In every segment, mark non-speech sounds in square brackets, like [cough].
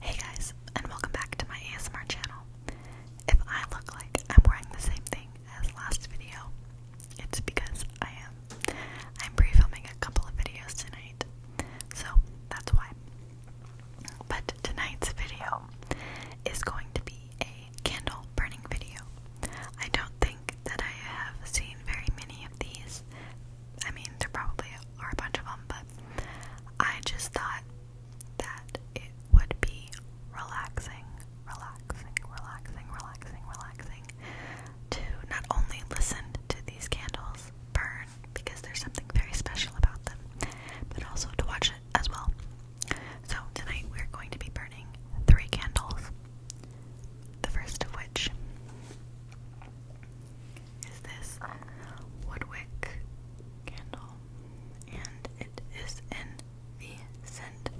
Hey guys, and welcome back to my ASMR channel. If I look like I'm wearing the same thing as last video, it's because I am. I'm pre-filming a couple of videos tonight, so that's why. But tonight's video is going to be a candle burning video. I don't think that I have seen very many of these I mean, there probably are a bunch of them, but I just thought that it would be relaxing, relaxing, relaxing, relaxing, relaxing to not only listen to these candles burn because there's something very special about them, but also to watch it as well. So, tonight we're going to be burning three candles, the first of which is this Woodwick candle, and it is in the scent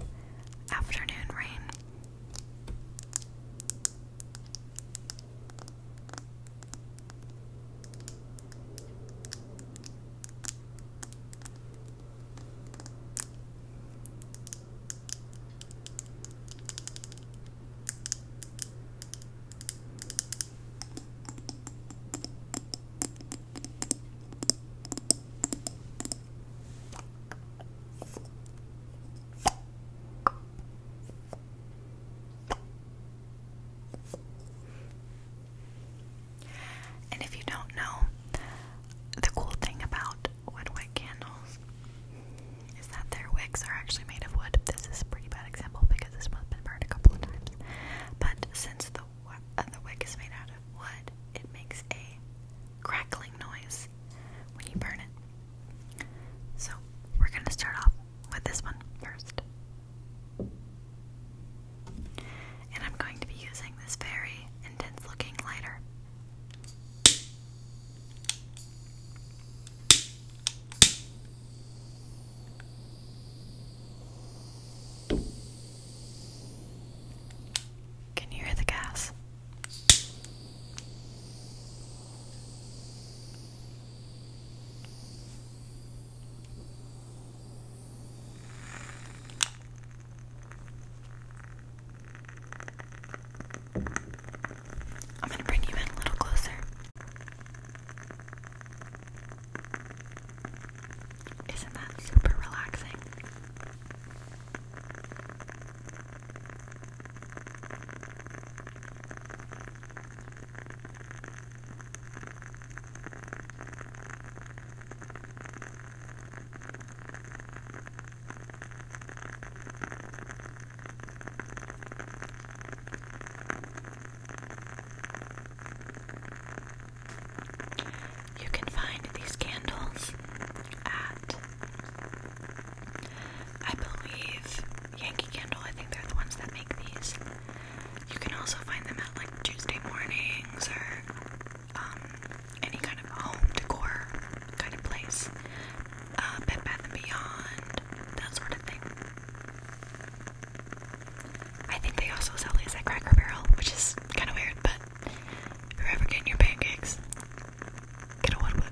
Afternoon Rain. And if you don't know, the cool thing about wood candles is that their wicks are actually made of wood. This is a pretty bad example because this one's been burned a couple of times. But since the, uh, the wick is made out of wood, it makes a crackling noise when you burn it. So we're going to start off with this one first. And I'm going to be using this very intense looking lighter. Can you hear the gas? I'm going to bring you in a little closer. Isn't that super relaxing? You can find these candles at, I believe, Yankee Candle. I think they're the ones that make these. You can also find them at like Tuesday mornings or um, any kind of home decor kind of place uh, Bed Bath & Beyond, that sort of thing. I think they also sell these at Cracker Barrel, which is kind of weird, but if you're ever getting your pancakes, get a woodwork.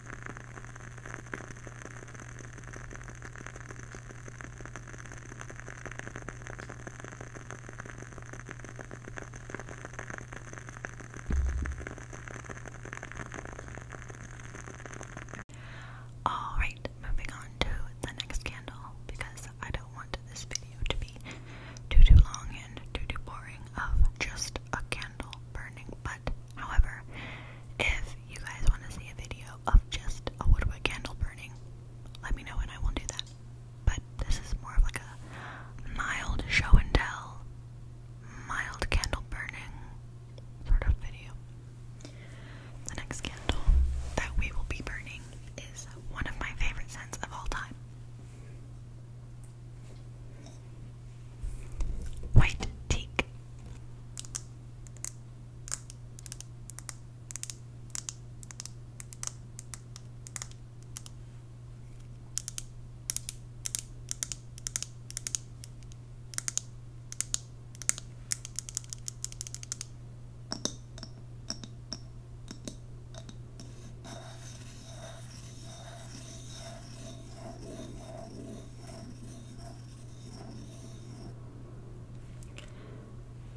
All right, moving on to the next candle because I don't want this video to be too too long and too too boring of just a candle burning, but However, if you guys want to see a video of just a woodwick candle burning, let me know and I will do that. But this is more of like a mild show and tell, mild candle burning sort of video. The next candle that we will be burning is one of my favorite scents of all time. White teak.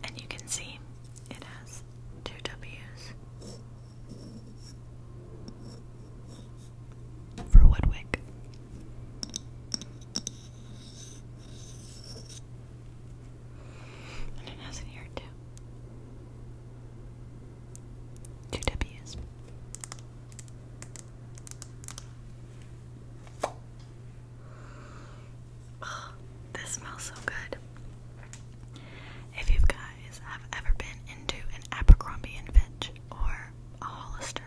And you can see it has two W's for Woodwick. And it has an ear too. Two W's. [sighs] this smells so good. If you guys have ever been into an Abercrombie and Fitch or a Hollister,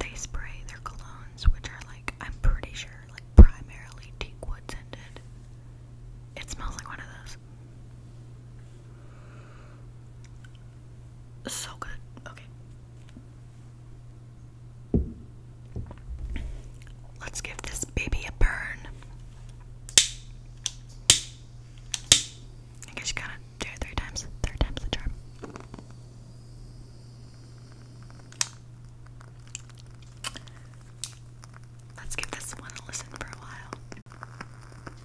they spray their colognes, which are like I'm pretty sure like primarily teak wood scented. It smells like one of those so good. Okay. Let's give this baby a burn. I guess you gotta do it three times. Third time's the charm. Let's give this one a listen for a while.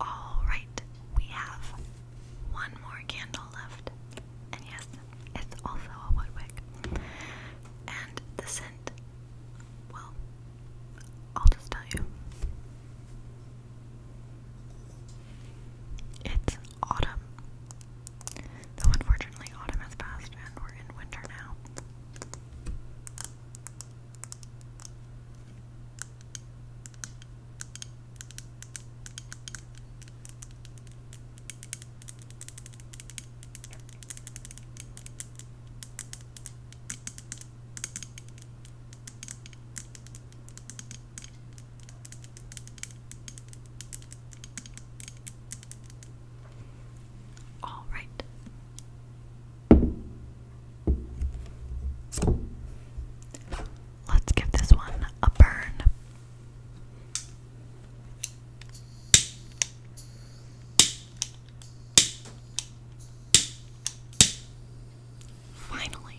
All right, we have one more candle left, and yes, it's also a wood wick. And the scent, well, I'll just tell you. It's autumn. Though unfortunately, autumn has passed and we're in winter now. All right. Let's give this one a burn. Finally.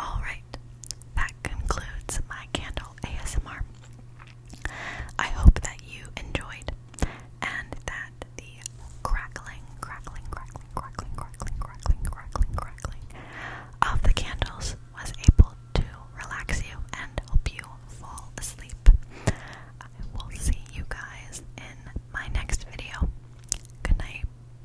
Alright, that concludes my candle ASMR. I hope that you enjoyed and that the crackling, crackling, crackling, crackling, crackling, crackling, crackling, crackling of the candles was able to relax you and help you fall asleep. I will see you guys in my next video. Good night.